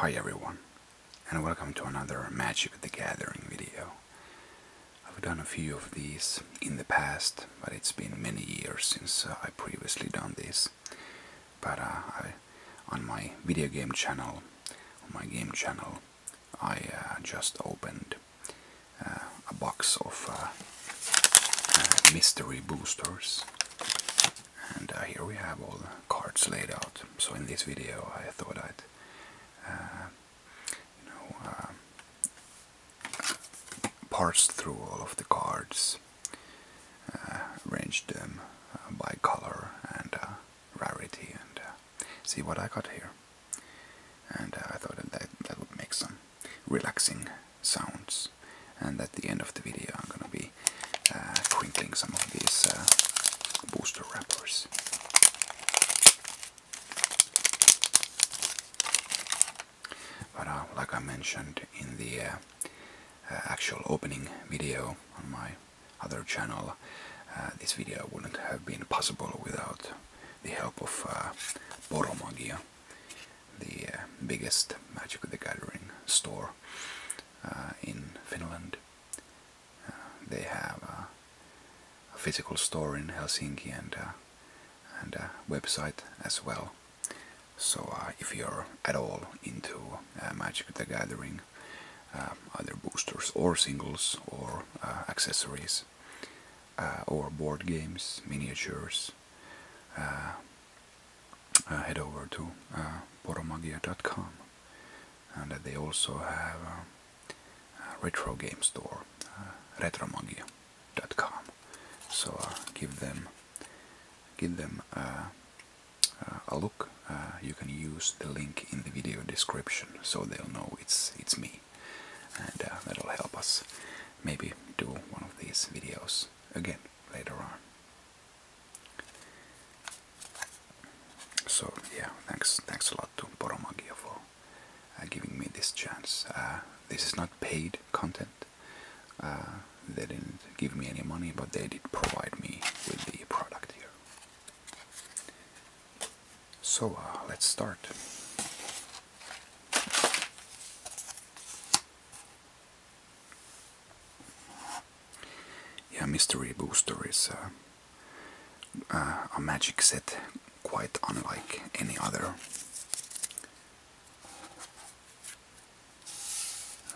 Hi everyone, and welcome to another Magic the Gathering video. I've done a few of these in the past, but it's been many years since uh, I previously done this. But uh, on my video game channel, on my game channel, I uh, just opened a box of mystery boosters and uh, here we have all the cards laid out. So in this video I thought I'd uh, you know, uh, parse through all of the cards, arrange them by color and rarity and see what I got here. And I thought that, that would make some relaxing sounds. And at the end of the video, I'm gonna be crinkling uh, some of these uh, booster wrappers. But uh, like I mentioned in the actual opening video on my other channel, this video wouldn't have been possible without the help of Boromagia, the uh, biggest Magic the Gathering store uh, in Finland. Uh, they have a physical store in Helsinki and and a website as well. So if you're at all into Magic the Gathering, other um, boosters or singles or accessories, or board games, miniatures, uh, head over to uh, boromagia.com and uh, they also have uh, a retro game store uh, retromagia.com so give them give them a look you can use the link in the video description so they'll know it's it's me and that'll help us maybe do one of these videos again later on so yeah, thanks thanks a lot to Boromagia for uh, giving me this chance. Uh, this is not paid content. Uh, they didn't give me any money, but they did provide me with the product here. So let's start. Yeah, Mystery Booster is uh, uh, a magic set quite unlike any other.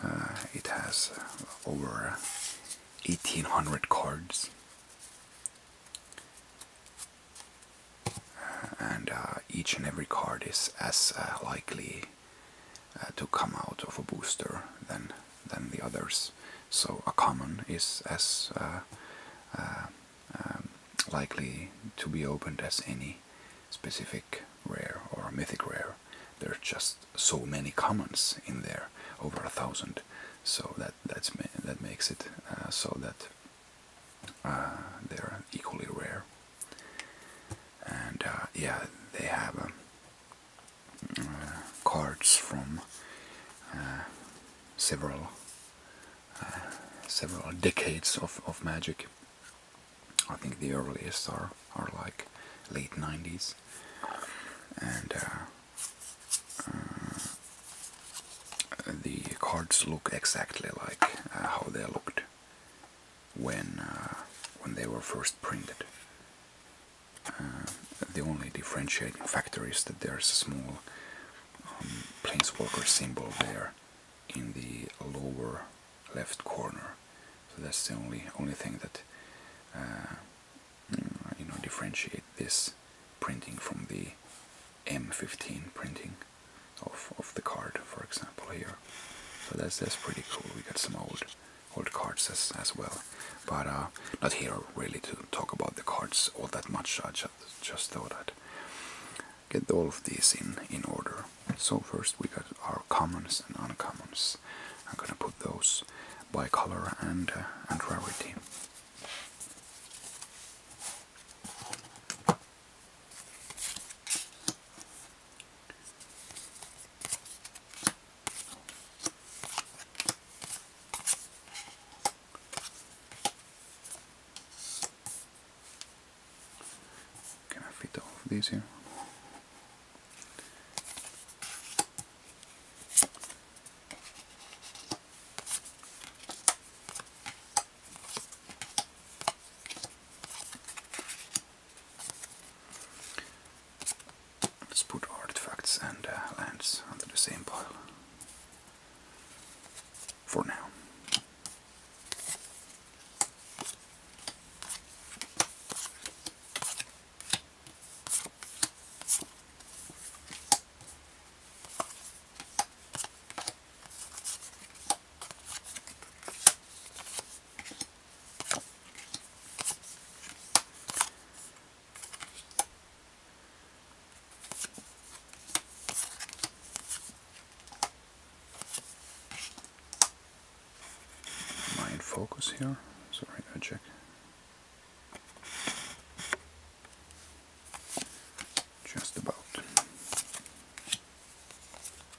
Uh, it has over 1800 cards and each and every card is as likely uh, to come out of a booster than than the others. So a common is as uh, uh, um, likely to be opened as any specific rare or mythic rare. There are just so many commons in there, over a thousand. So that that's that makes it so that they're equally rare and uh, yeah, they have um, uh, cards from uh, several several decades of, of Magic. I think the earliest are are like late 90s, and the cards look exactly like how they looked when uh, when they were first printed. Uh, the only differentiating factor is that there's a small um, planeswalker symbol there in the lower left corner. So that's the only only thing that uh, mm, you know differentiate this printing from the M15 printing of, of the card, for example, here. So that's, that's pretty cool. We got some old old cards as, as well. But uh, not here really to talk about the cards all that much. I just, just thought I'd get all of these in, in order. So first we got our commons and uncommons. I'm gonna put those by color and, uh, and rarity. Can I fit all of these here? Let's put artifacts and uh, lands under the same pile for now. Am I in focus here? Sorry, I check. Just about.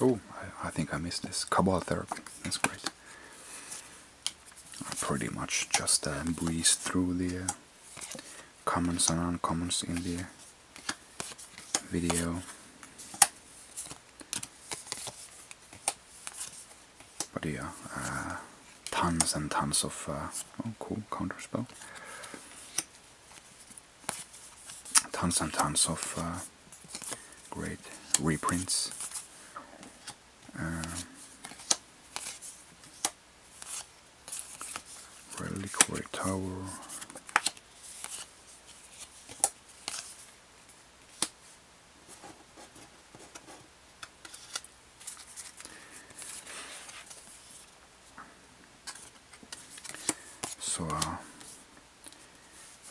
Oh, I, think I missed this. Cabal therapy. That's great. I pretty much just uh, breezed through the uh, comments and uncommons in the uh, video. But yeah, uh, tons and tons of oh cool counterspell. Tons and tons of great reprints. Um, uh, Reliquary Tower. So uh,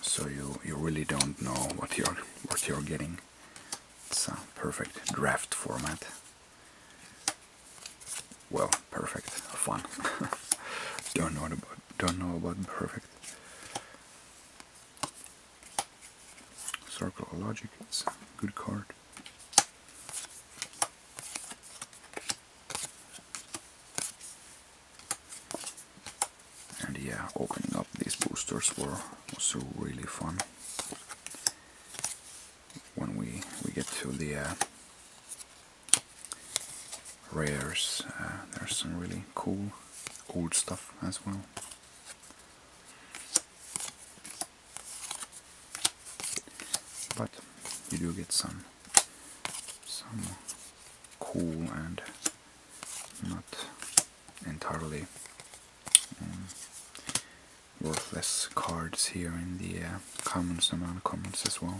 so you you really don't know what you're what you're getting. It's a perfect draft format. Well, perfect, fun. don't know about don't know about perfect. Circle Logic, good card. And yeah, opening up these boosters were also really fun. When we we get to the uh, rares, uh, there's some really cool old stuff as well. But you do get some some cool and not entirely um, worthless cards here in the uh, commons and comments as well.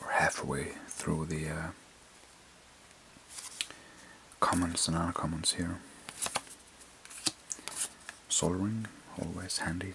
We're halfway through the uh, and and uncommons here. Soldering, always handy.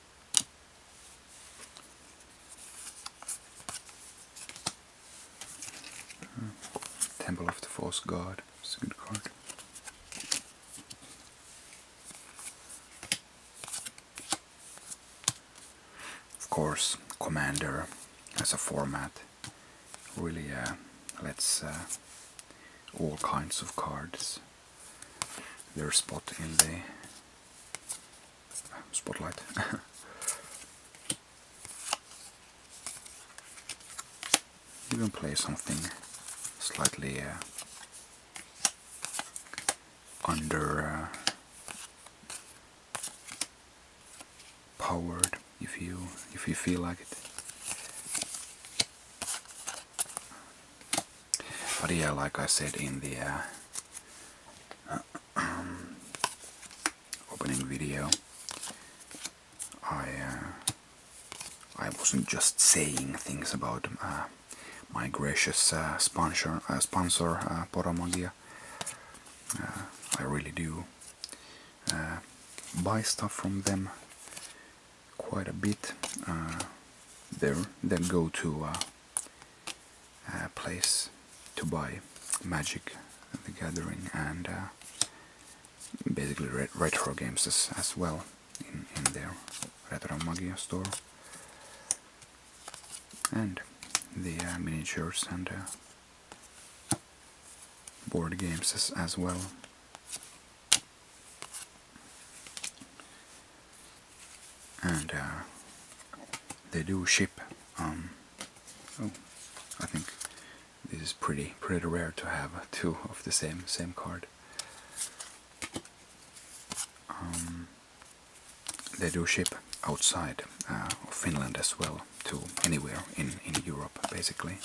Temple of the False God. It's a good card. Of course, Commander as a format really uh, lets uh, all kinds of cards their spot in the spotlight. Even play something slightly uh, under uh, powered if you if you feel like it. But yeah, like I said in the uh, opening video, I uh, I wasn't just saying things about uh, my gracious sponsor, uh, sponsor uh, I really do buy stuff from them quite a bit uh, there then go to uh, a place to buy Magic the Gathering and uh, basically re retro games as, well in, in their Retro Magia store and the miniatures and uh, board games as well and uh, they do ship um, oh, I think this is pretty pretty rare to have two of the same same card um, they do ship outside uh, of Finland as well to anywhere in, in Europe basically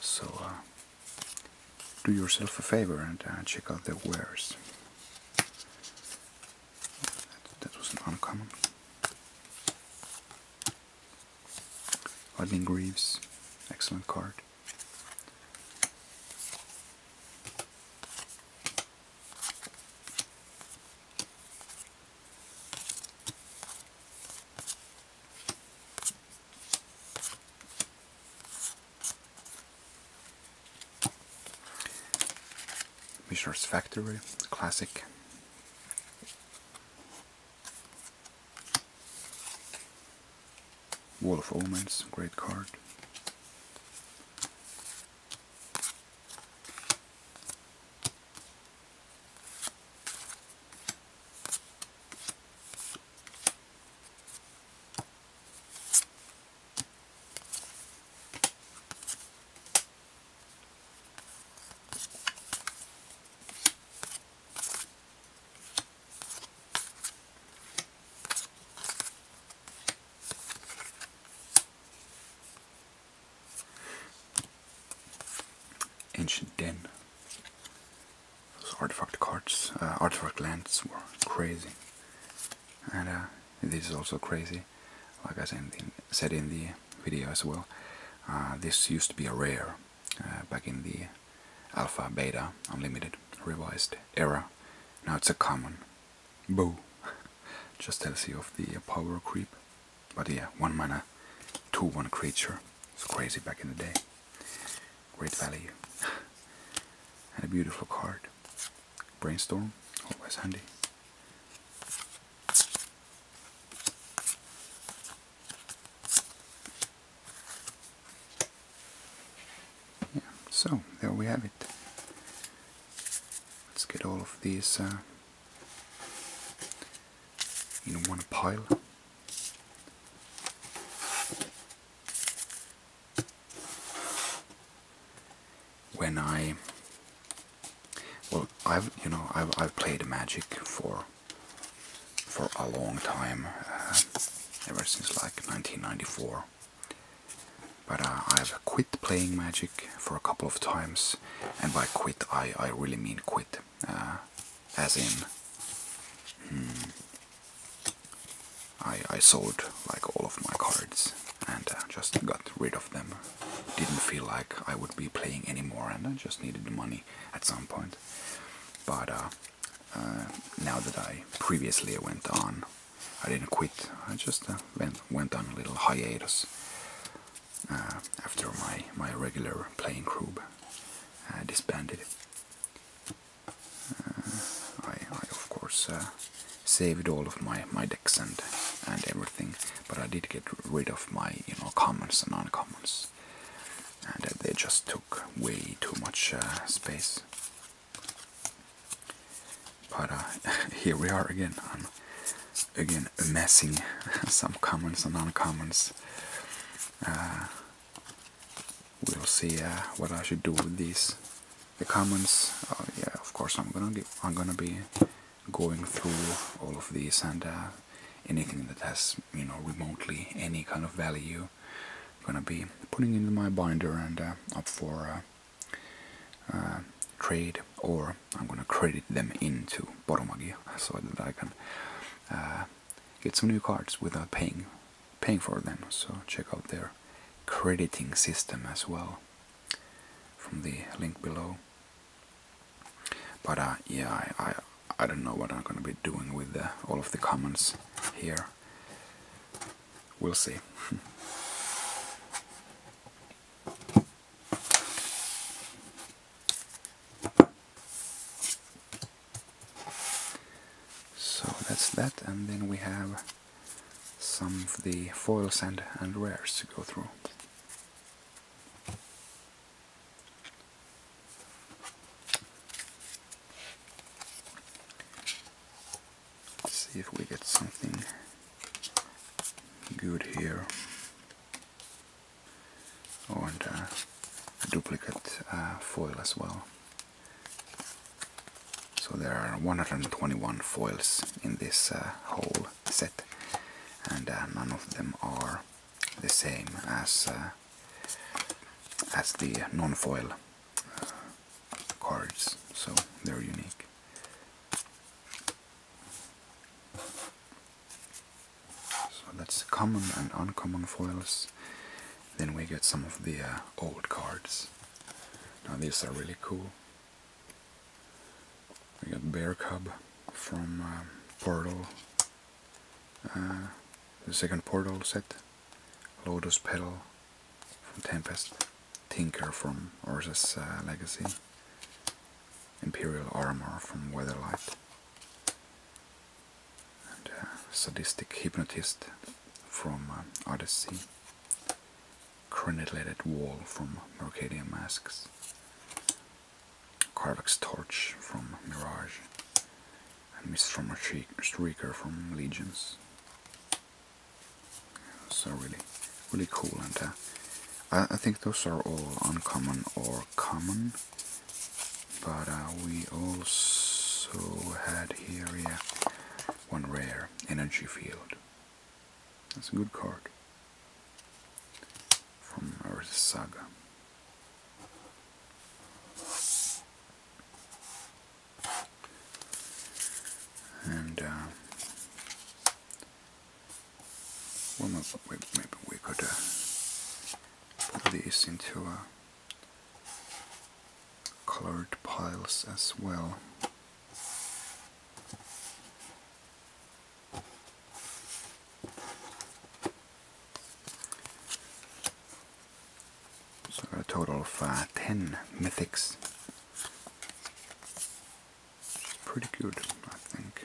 so uh, do yourself a favor and uh, check out their wares. That, was uncommon. Lightning Greaves, excellent card. Mishra's Factory, classic. Wall of Omens, great card. Ancient den. Those artifact cards, uh, artifact lands were crazy. And uh, this is also crazy, like I said in, the video as well. Uh, this used to be a rare uh, back in the Alpha, Beta, Unlimited, Revised era. Now it's a common. Boo! Just tells you of the power creep. But yeah, one mana, 2-1 creature. It's crazy back in the day. Great value. and a beautiful card. Brainstorm, always handy. Yeah, so there we have it. Let's get all of these uh, in one pile when I well I've you know I've, I've played Magic for for a long time uh, ever since like 1994 but uh, I've quit playing Magic for a couple of times and by quit I, I really mean quit uh, as in hmm, I, I sold like all of my cards and uh, just got rid of them. Didn't feel like I would be playing anymore and I just needed the money at some point. But uh, uh, now that I previously went on, I didn't quit. I just went, went on a little hiatus after my, my regular playing group disbanded. Uh, I, I of course uh, saved all of my my decks and and everything, but I did get rid of my you know commons and uncommons, and uh, they just took way too much space. But here we are again. I'm again amassing some commons and uncommons. Uh, we'll see uh, what I should do with these. The comments, uh, yeah, of course I'm gonna I'm gonna be going through all of these and uh, anything that has you know remotely any kind of value, I'm gonna be putting into my binder and uh, up for trade, or I'm gonna credit them into Boromagia so that I can get some new cards without paying paying for them. So check out their crediting system as well from the link below. But uh, yeah, I, I, don't know what I'm gonna be doing with all of the comments here. We'll see. So that's that, and then we have some of the foils and, and rares to go through. see if we get something good here. Oh, and uh, a duplicate uh, foil as well. So there are 121 foils in this uh, whole set and uh, none of them are the same as uh, as the non-foil cards, so they're unique. So that's common and uncommon foils. Then we get some of the uh, old cards. Now these are really cool. We got Bear Cub from um, Portal, uh, the second Portal set. Lotus Petal from Tempest, Tinker from Ursus uh, Legacy, Imperial Armor from Weatherlight, uh, sadistic hypnotist from uh, Odyssey, crenellated wall from Mercadian Masks, Carvax Torch from Mirage, and Mistroma Shrieker from Legions. So really, really cool, and uh, I think those are all uncommon or common but uh, we also had here one rare energy field. That's a good card from Earth Saga. And uh, well, maybe we could uh, put this into uh, colored piles as well. So a total of uh, 10 mythics. pretty good, I think.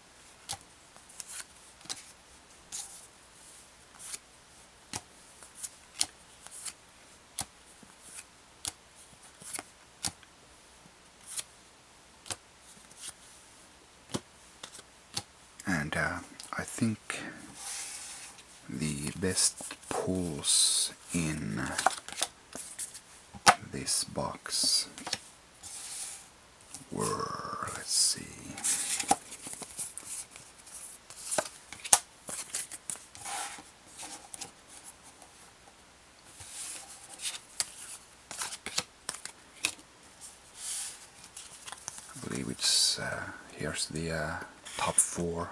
and uh, I think the best pulls in this box let's see. I believe it's, uh, here's the uh, top four.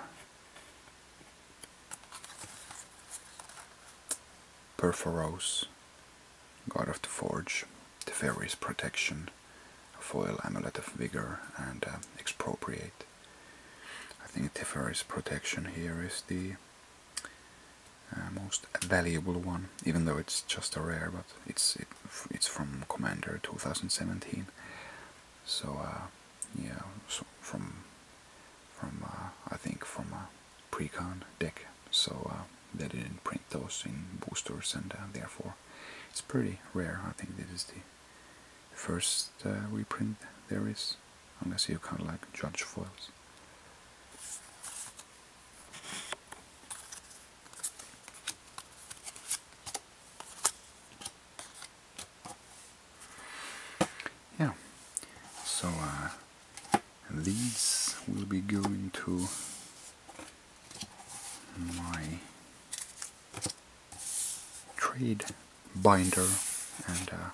Perforose. God of the Forge, the Fairies' Protection, a foil Amulet of Vigor, and uh, Expropriate. I think the Fairies' Protection here is the uh, most valuable one, even though it's just a rare, but it's it's from Commander 2017. So uh, yeah, so from from I think from precon deck, so uh, they didn't print those in boosters, and uh, therefore it's pretty rare. I think this is the first uh, reprint there is, i is. I'm gonna see you kind of like judge foils. Yeah, so and these will be going to my trade binder and uh,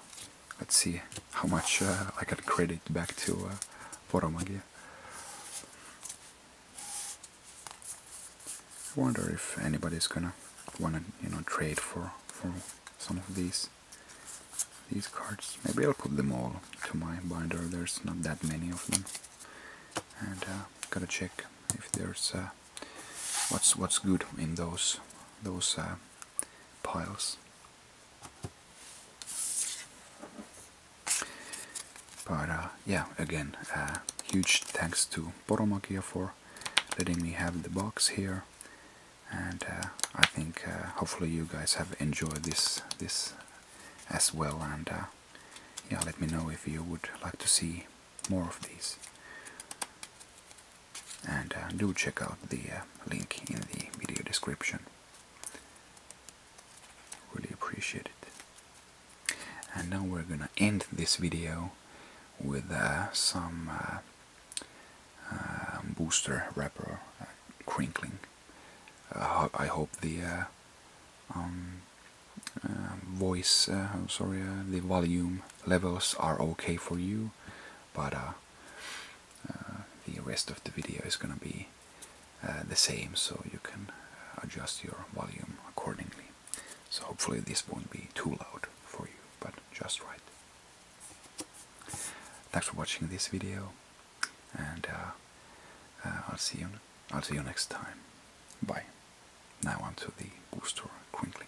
let's see how much uh, I can credit back to uh, Poromagia. I wonder if anybody's gonna wanna you know trade for for some of these these cards. Maybe I'll put them all to my binder, there's not that many of them. And uh, gotta check if there's uh, what's what's good in those those uh, piles. But uh, yeah, again, huge thanks to Boromakia for letting me have the box here. And I think hopefully you guys have enjoyed this this as well. And uh, yeah, let me know if you would like to see more of these. And uh, do check out the uh, link in the video description. Really appreciate it. And now we're gonna end this video with some booster wrapper crinkling. I hope the uh, um, um, voice, uh, sorry, uh, the volume levels are okay for you, but the rest of the video is gonna be the same, so you can adjust your volume accordingly. So hopefully this won't be too loud for you, but just right. Thanks for watching this video and uh, uh, I'll see you. I'll see you next time. Bye. Now on to the booster crinkling.